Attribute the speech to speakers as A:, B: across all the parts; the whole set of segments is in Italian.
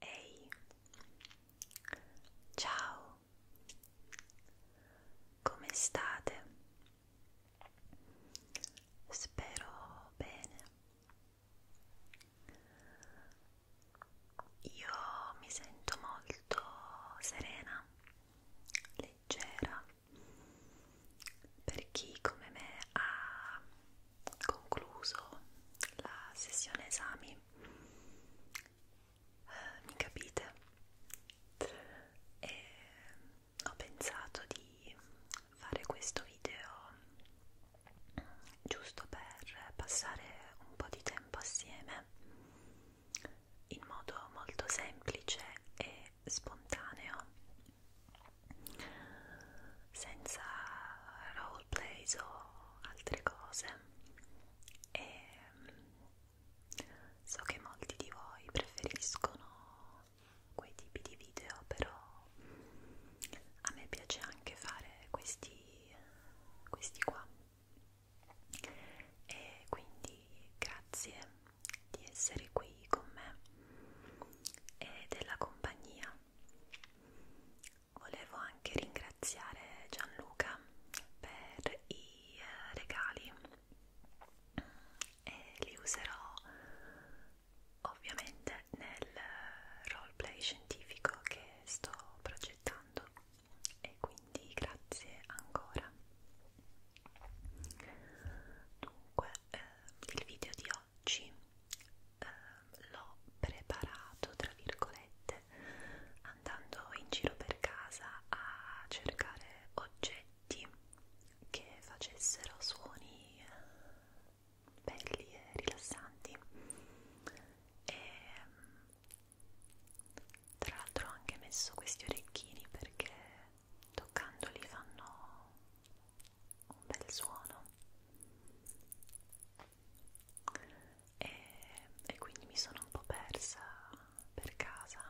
A: Ehi, ciao, come state? Spero bene. Io mi sento molto serena, leggera per chi come me ha concluso la sessione esami eh, mi capite e ho pensato di fare questo video giusto per passare un po' di tempo assieme in modo molto semplice e spontaneo senza roleplays o altre cose e mm, so che molti di voi preferiscono quei tipi di video però a me piace anche fare questi, questi qua e quindi grazie di essere qui con me e della compagnia volevo anche ringraziare Gianluca per i eh, regali e li userò ovviamente nel roleplay scientifico che sto progettando e quindi grazie ancora dunque eh, il video di oggi eh, l'ho preparato tra virgolette andando in giro per casa a cercare oggetti che facessero suoni eh, belli e rilassanti e mm, tra l'altro ho anche messo questi orecchini perché toccandoli fanno un bel suono e, e quindi mi sono un po' persa per casa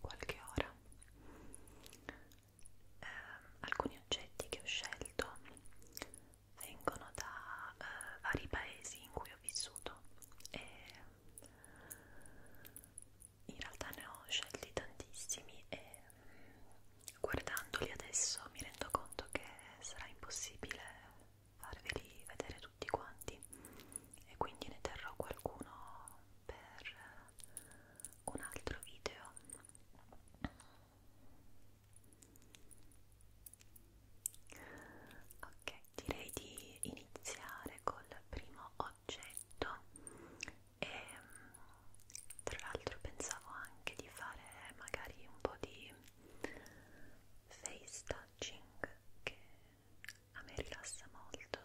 A: qualche ora. Eh, alcuni oggetti che ho scelto vengono da eh, vari paesi in cui ho vissuto e in realtà ne ho scelti tantissimi e guardandoli adesso mi rendo conto che sarà impossibile farveli vedere tutti quanti e quindi ne terrò qualcuno per un altro video ok direi di iniziare col primo oggetto e tra l'altro pensavo anche di fare magari un po' di face touching che a me rilassa molto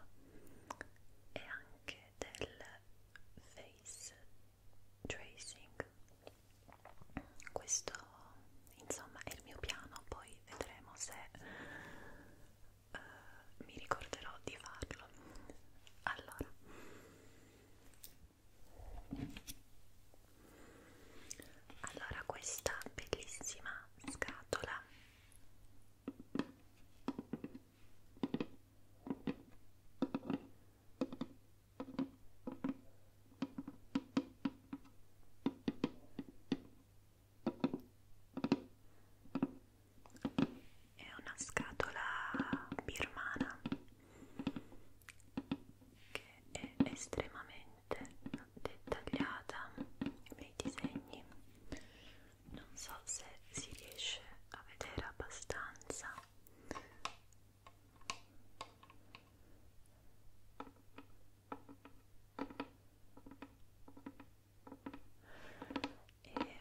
A: e anche del face tracing questo insomma è il mio piano poi vedremo se uh, mi ricorderò di farlo allora allora questa bellissima scatola è una scatola birmana che è estremamente dettagliata nei disegni non so se si riesce a vedere abbastanza e mm,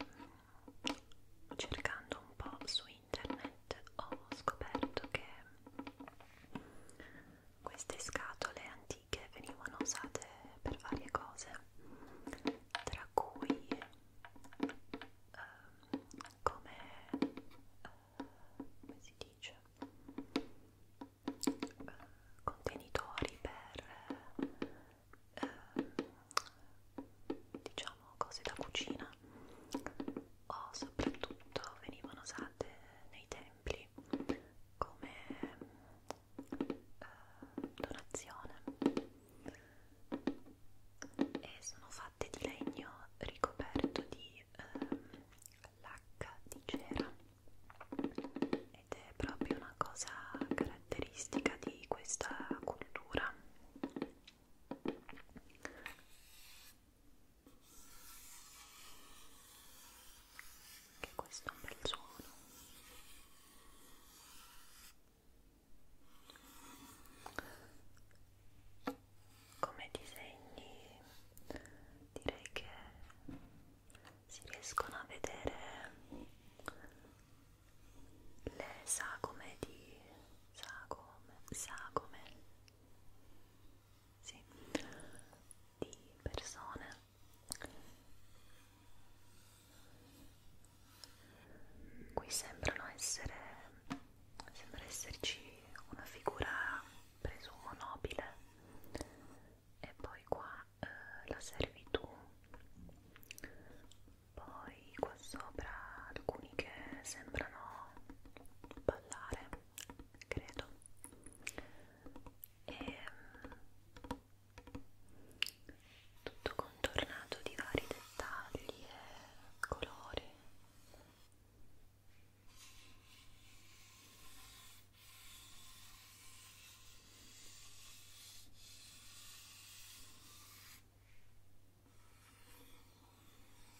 A: cercando un po' su internet ho scoperto che queste scatole antiche venivano usate per varie cose, tra cui ehm, come, eh, come si dice, eh, contenitori per eh, diciamo cose da cucina o soprattutto venivano usate nei templi come eh, donazione e sono fatte di legno ricoperto di eh, lacca di cera ed è proprio una cosa caratteristica di questa cultura anche questo è un bel suono. Come disegni direi che si riescono a vedere le sagome di sagome sagome sì, di persone qui sembrano essere sembra esserci una figura presumo nobile e poi qua eh, la servitù poi qua sopra alcuni che sembrano ballare credo e ehm, tutto contornato di vari dettagli e colori e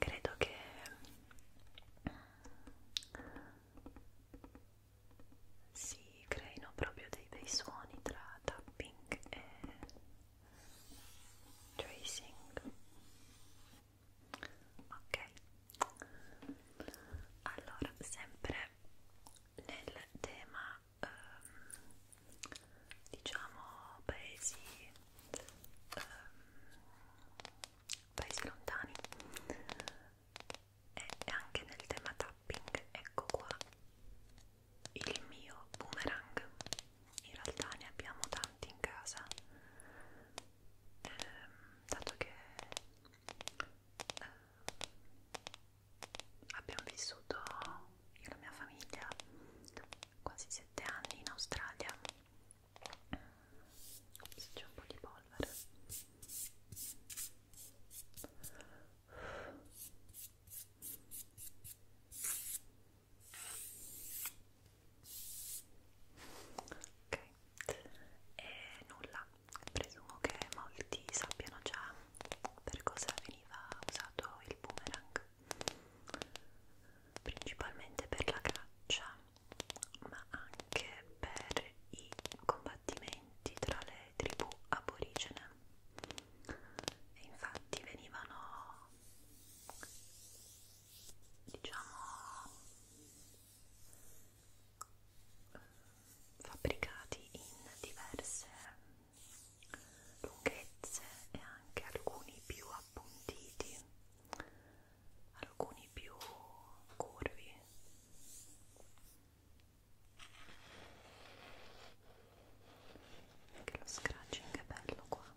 A: Credo che si creino proprio dei bei suoni tra tapping e tracing ok allora sempre nel tema ehm, diciamo paesi ehm, paesi lontani e anche nel tema tapping ecco qua il mio boomerang in realtà ne abbiamo tanti in casa eh, dato che eh, abbiamo vissuto io e la mia famiglia quasi sette anni in Australia se c'è un po' di polvere Ok, e nulla, presumo che molti sappiano già per cosa veniva usato il boomerang, principalmente per la caccia, ma anche per i combattimenti tra le tribù aborigene. E infatti venivano diciamo fabbricati in diverse lunghezze e anche alcuni più appuntiti alcuni più curvi anche lo scratching è bello qua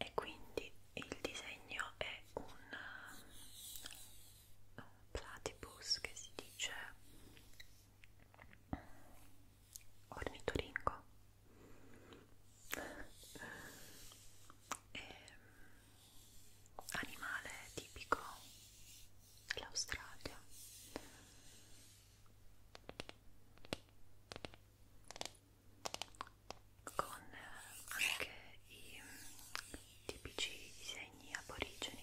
A: E quindi il disegno è un platypus che si dice ornitoringo e, ehm, animale tipico dell'Australia con anche i tipici disegni aborigeni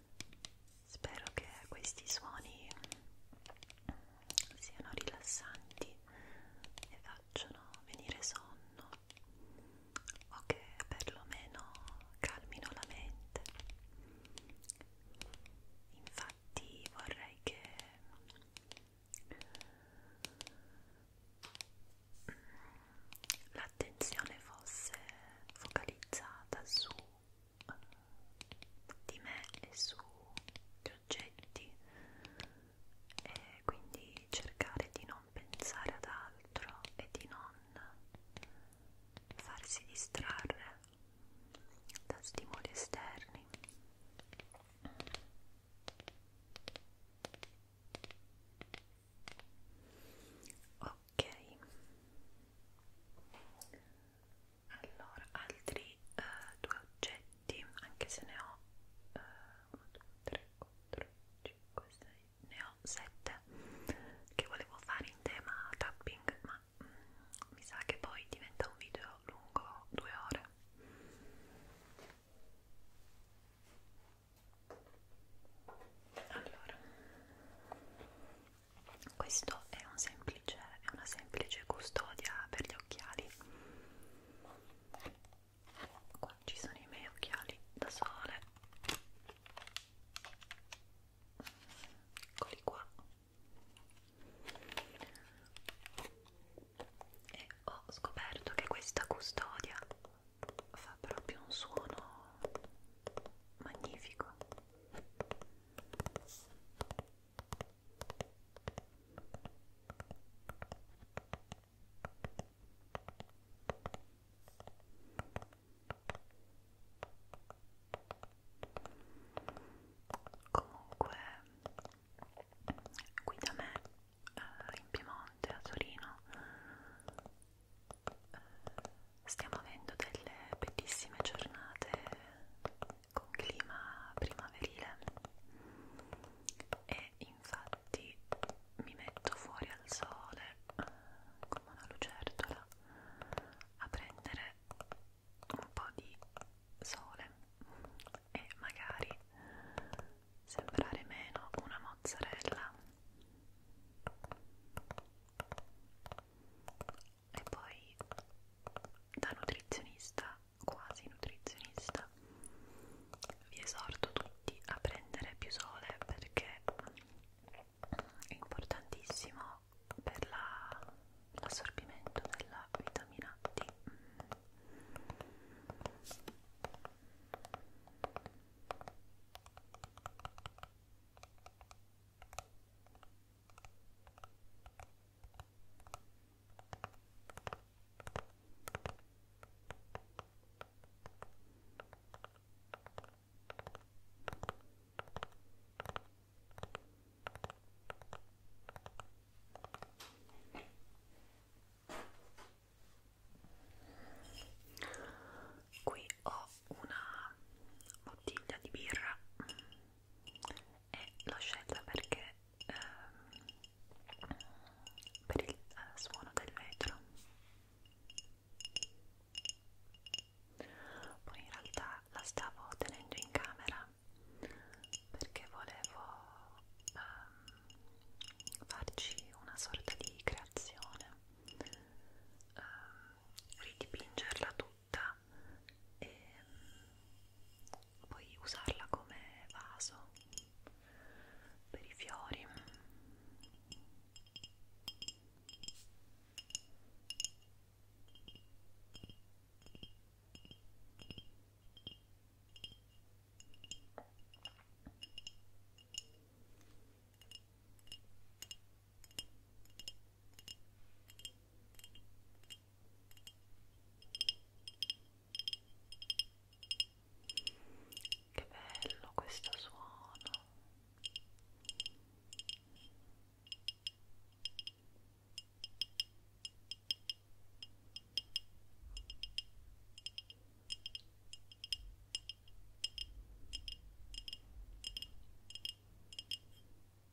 A: Spero che questi suoni siano rilassanti e facciano venire sonno o che perlomeno calmino la mente. Infatti vorrei che l'attenzione fosse focalizzata su di me e sugli oggetti e quindi cercare di non pensare ad altro e di non farsi distrarre da stimoli esterni ok allora altri eh, due oggetti anche se ne ho 1 2 3 4 5 6 ne ho 7 che volevo fare in tema tapping ma mm, mi sa che poi diventa un video lungo 2 ore allora questo è, un semplice, è una semplice custodia per gli occhiali qua ci sono i miei occhiali da sole eccoli qua e ho scoperto che questa custodia fa proprio un suono magnifico Comunque, qui da me, eh, in Piemonte, a Torino, eh, stiamo avendo delle bellissime giornate con clima primaverile e infatti mi metto fuori al sole come una lucertola a prendere un po' di sole e magari sembrare meno una mozzarella e poi da nutrizionista, quasi nutrizionista, vi esorto tutti a prendere più sole perché è importantissimo per l'assorbimento la, della vitamina D. Qui ho una bottiglia di birra e l'ho scelta perché ehm, per il eh, suono del vetro poi in realtà la stavo tenendo in camera perché volevo ehm, farci una sorta di creazione ehm, ridipingerla tutta frutta e mm, poi usarla come vaso per i fiori che bello questo suono.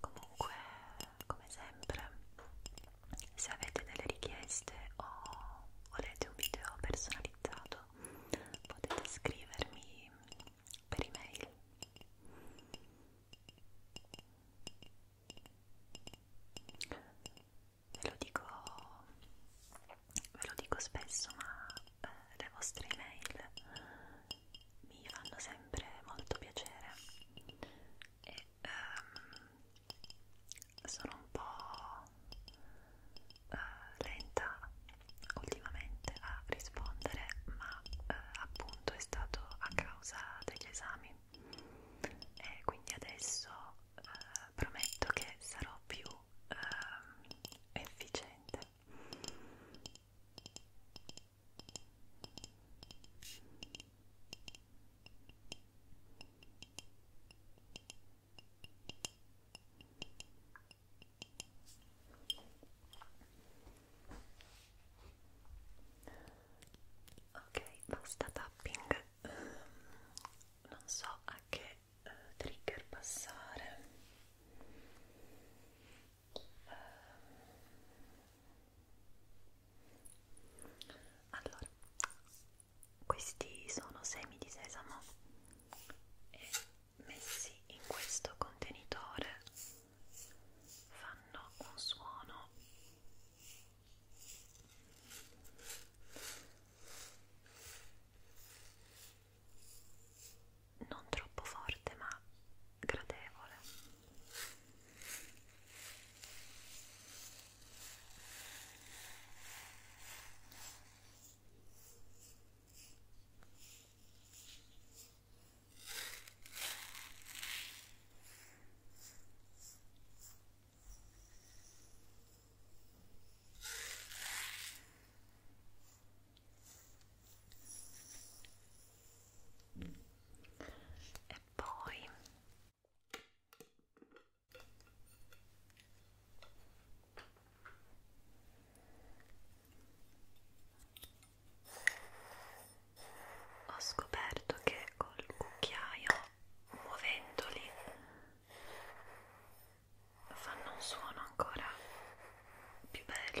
A: Comunque, come sempre, se avete delle richieste o volete un video personalizzato, potete scrivermi per email ve lo dico, ve lo dico spesso, ma eh, le vostre email mi fanno sempre molto piacere e ehm, sono un po' eh, lenta ultimamente a rispondere, ma eh, appunto è stato a causa degli esami e quindi adesso eh, prometto che sarò più eh, efficiente ok basta tapping ehm, non so a che eh, trigger passare ehm, allora questi sono semi di sesamo e messi in questo contenitore fanno un suono non troppo forte ma gradevole e poi ho scoperto che col cucchiaio muovendoli fanno un suono ancora più bello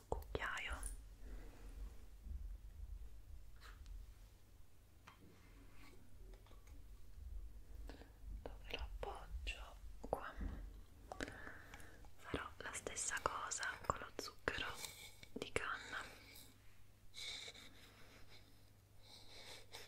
A: cucchiaio dove lo appoggio qua farò la stessa cosa con lo zucchero di canna Ecco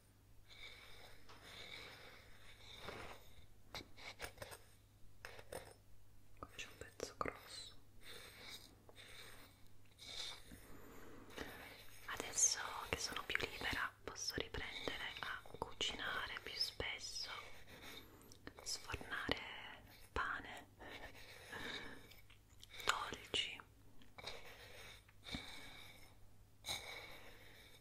A: Qua c'è un pezzo grosso. Adesso che sono più libera posso riprendere a cucinare più spesso, sfornare pane, dolci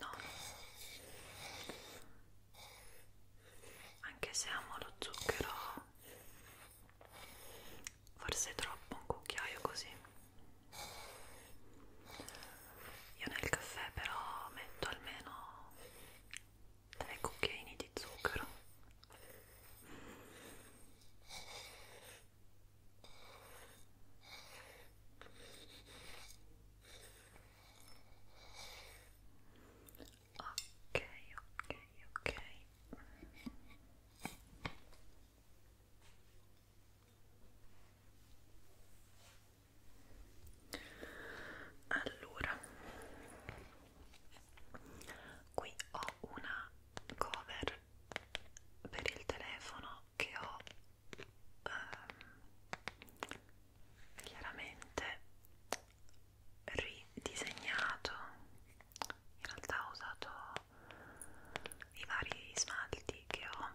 A: No. Anche se amo lo zucchero, forse è troppo un cucchiaio così. Io nel caffè però metto almeno tre cucchiaini di zucchero ok ok ok allora qui ho una cover per il telefono che ho ehm, chiaramente ridisegnato in realtà ho usato i vari smalti che ho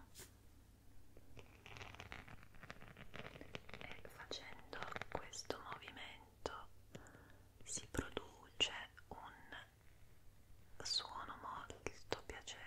A: e facendo questo movimento si produce un suono molto piacevole.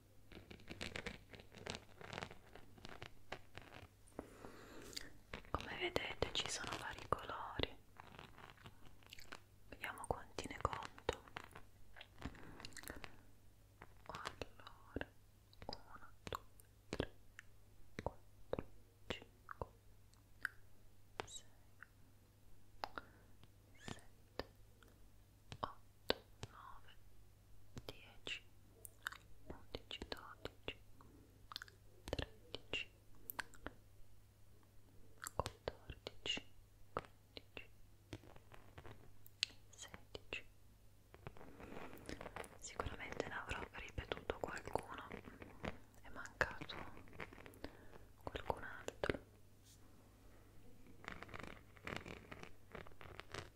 A: come vedete ci sono vari colori vediamo quanti ne conto allora 1 2 3 4 5 6 7 8 9 10, 11, 12, 13, 14, 15, 16. Sicuramente ne avrò ripetuto qualcuno, è mancato qualcun altro.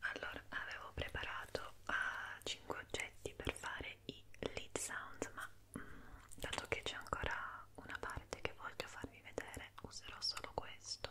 A: Allora, avevo preparato uh, eh, 5 oggetti per fare i lead sounds, ma mh, mm, dato che c'è ancora una parte che voglio farvi vedere, userò solo questo.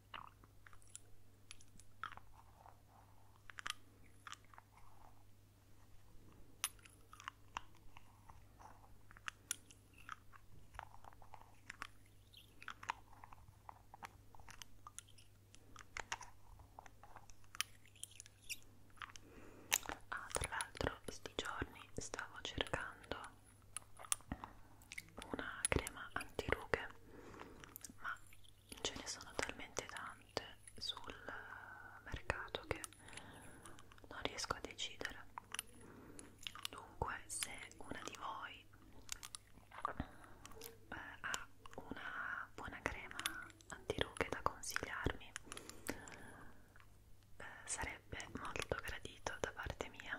A: Ah, tra l'altro, sti giorni stavo cercando una crema antirughe ma ce ne sono talmente tante sul mercato che non riesco a decidere dunque se una di voi eh, ha una buona crema antirughe da consigliarmi eh, sarebbe molto gradito da parte mia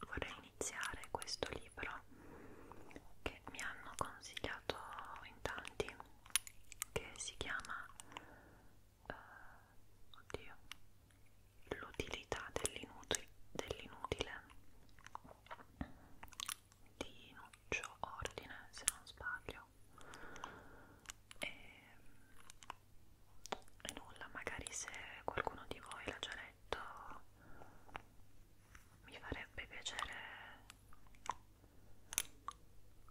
A: vorrei iniziare questo libro che mi hanno consigliato in tanti che si chiama eh, oddio l'utilità dell'inutile dell di Nuccio Ordine se non sbaglio e e nulla, magari se qualcuno di voi l'ha già letto mi farebbe piacere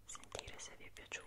A: sentire se vi è piaciuto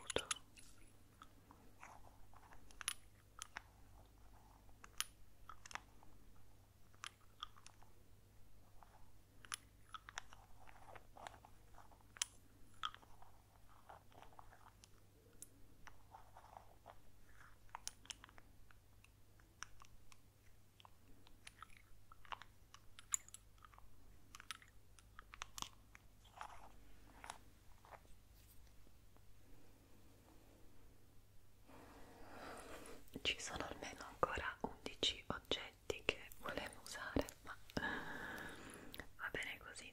A: ci sono almeno ancora 11 oggetti che volevo usare, ma eh, va bene così.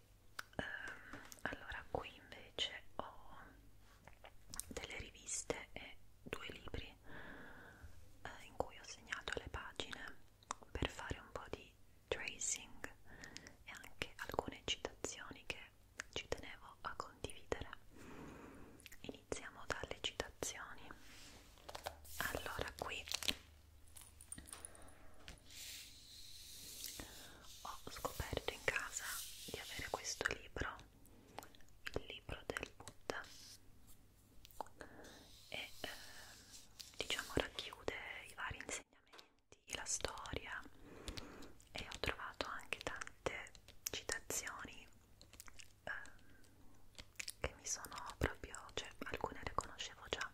A: Um, allora, qui invece ho delle riviste e due libri eh, in cui ho segnato le pagine per fare un po' di tracing e anche alcune citazioni che ci tenevo a condividere. Iniziamo dalle citazioni. Allora qui ho scoperto in casa di avere questo libro, il libro del Buddha e eh, diciamo racchiude i vari insegnamenti, la storia e ho trovato anche tante citazioni eh, che mi sono proprio, cioè alcune le conoscevo già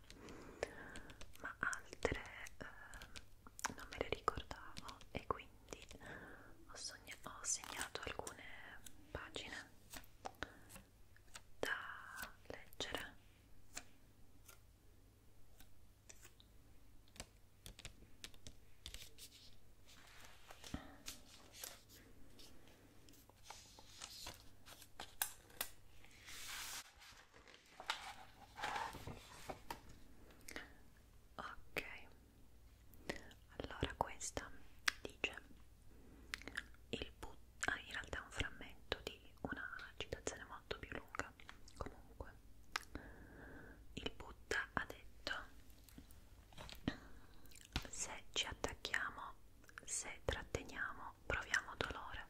A: ma altre eh, non me le ricordavo e quindi ho, ho segnato alcune pagine da leggere ok allora questa dice il put ah, in realtà è un frammento di una citazione molto più lunga comunque il Buddha ha detto se ci attacchiamo se tratteniamo proviamo dolore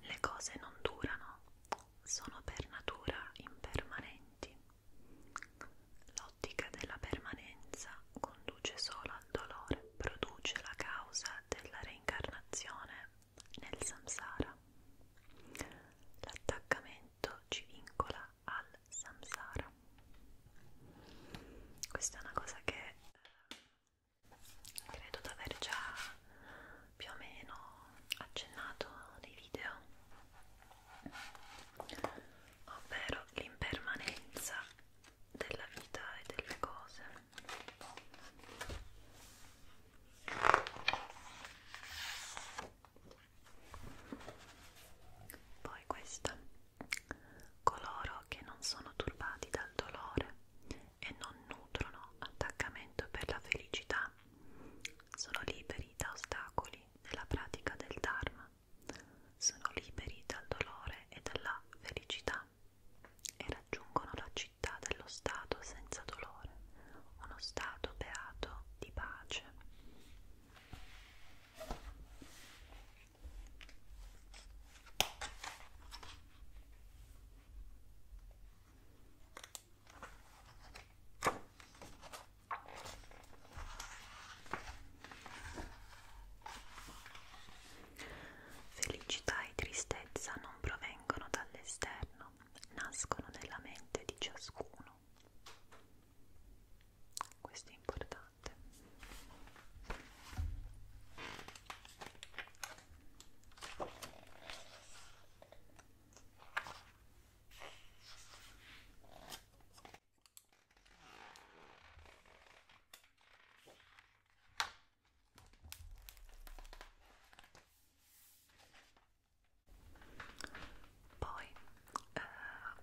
A: le cose non durano sono per natura impermanenti. L'ottica della permanenza conduce solo al dolore, produce la causa della reincarnazione nel samsara. L'attaccamento ci vincola al samsara. Questa è una cosa che eh, credo di aver già più o meno accennato nei video ovvero l'impermanenza della vita e delle cose poi questa coloro che non sono turbati dal dolore e non nutrono attaccamento per la felicità sono liberi da ostacoli nella pratica del Dharma, sono liberi dal dolore e dalla felicità e raggiungono la città dello Stato senza dolore, uno Stato beato di pace. Felicità e tristezza non provengono dall'esterno, nascono nella mente di ciascuno. Questo è importante. Poi eh,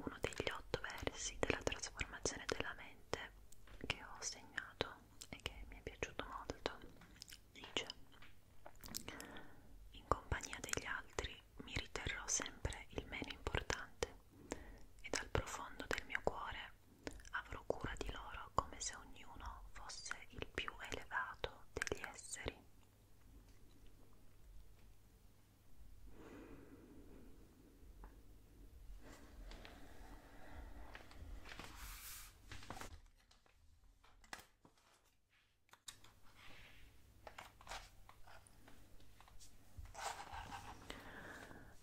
A: uno degli otto versi della trasformazione della mente che ho segnato e che mi è piaciuto molto dice in compagnia degli altri mi riterrò sempre il meno importante e dal profondo del mio cuore avrò cura di loro come se ognuno fosse il più elevato degli esseri.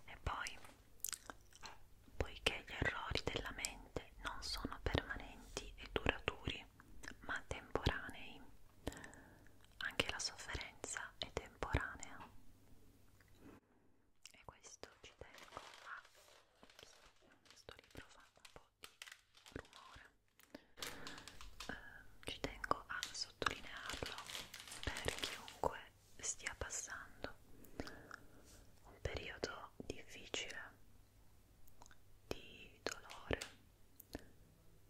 A: E poi, poiché gli errori della mente non sono permanenti e duraturi, ma temporanei, anche la sofferenza è temporanea. E questo ci tengo a... questo libro fa un po' di rumore eh, ci tengo a sottolinearlo per chiunque stia passando un periodo difficile di dolore,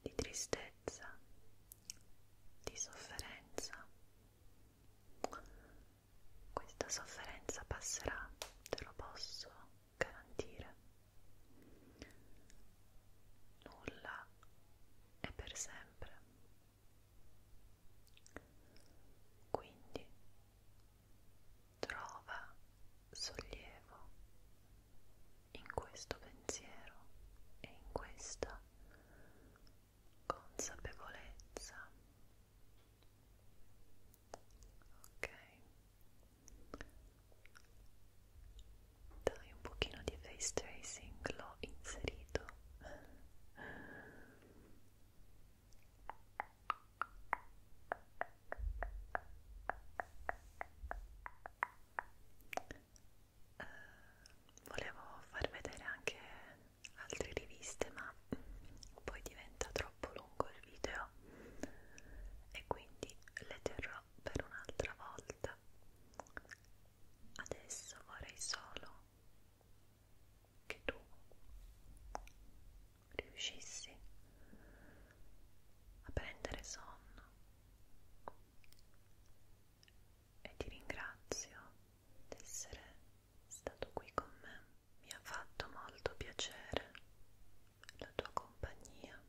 A: di tristezza, di sofferenza. Questa sofferenza passerà, te lo posso garantire. Nulla è per sempre. Quindi trova sollievo in questo pensiero e in questa consapevolezza ok dai un pochino di face tracing l'ho inserito Uh, volevo far vedere anche altre riviste ma poi diventa troppo lungo il video e quindi le terrò sarà per un'altra volta. Adesso vorrei solo che tu riuscissi a prendere sonno e ti ringrazio di essere stato qui con me. Mi ha fatto molto piacere la tua compagnia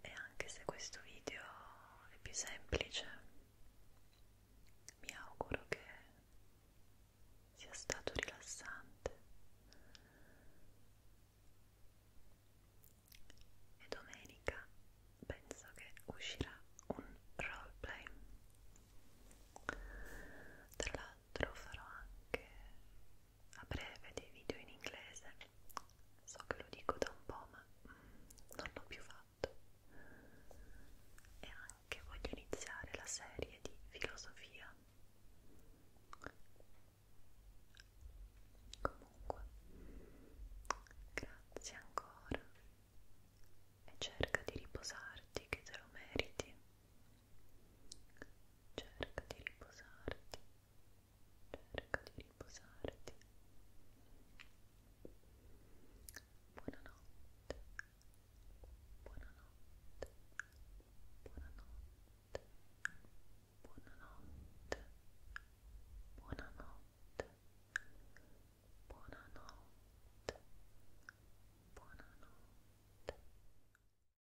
A: e anche se questo video è più semplice mi auguro che sia stato rilassante e domenica penso che uscirà un roleplay tra l'altro farò anche a breve dei video in inglese so che lo dico da un po' ma mm, non l'ho più fatto e anche voglio iniziare la serie di filosofia comunque grazie ancora e cerca di riposarti che te lo meriti cerca di riposarti, cerca di riposarti. Buonanotte, buonanotte, buonanotte, buonanotte, buonanotte, buonanotte, buonanotte.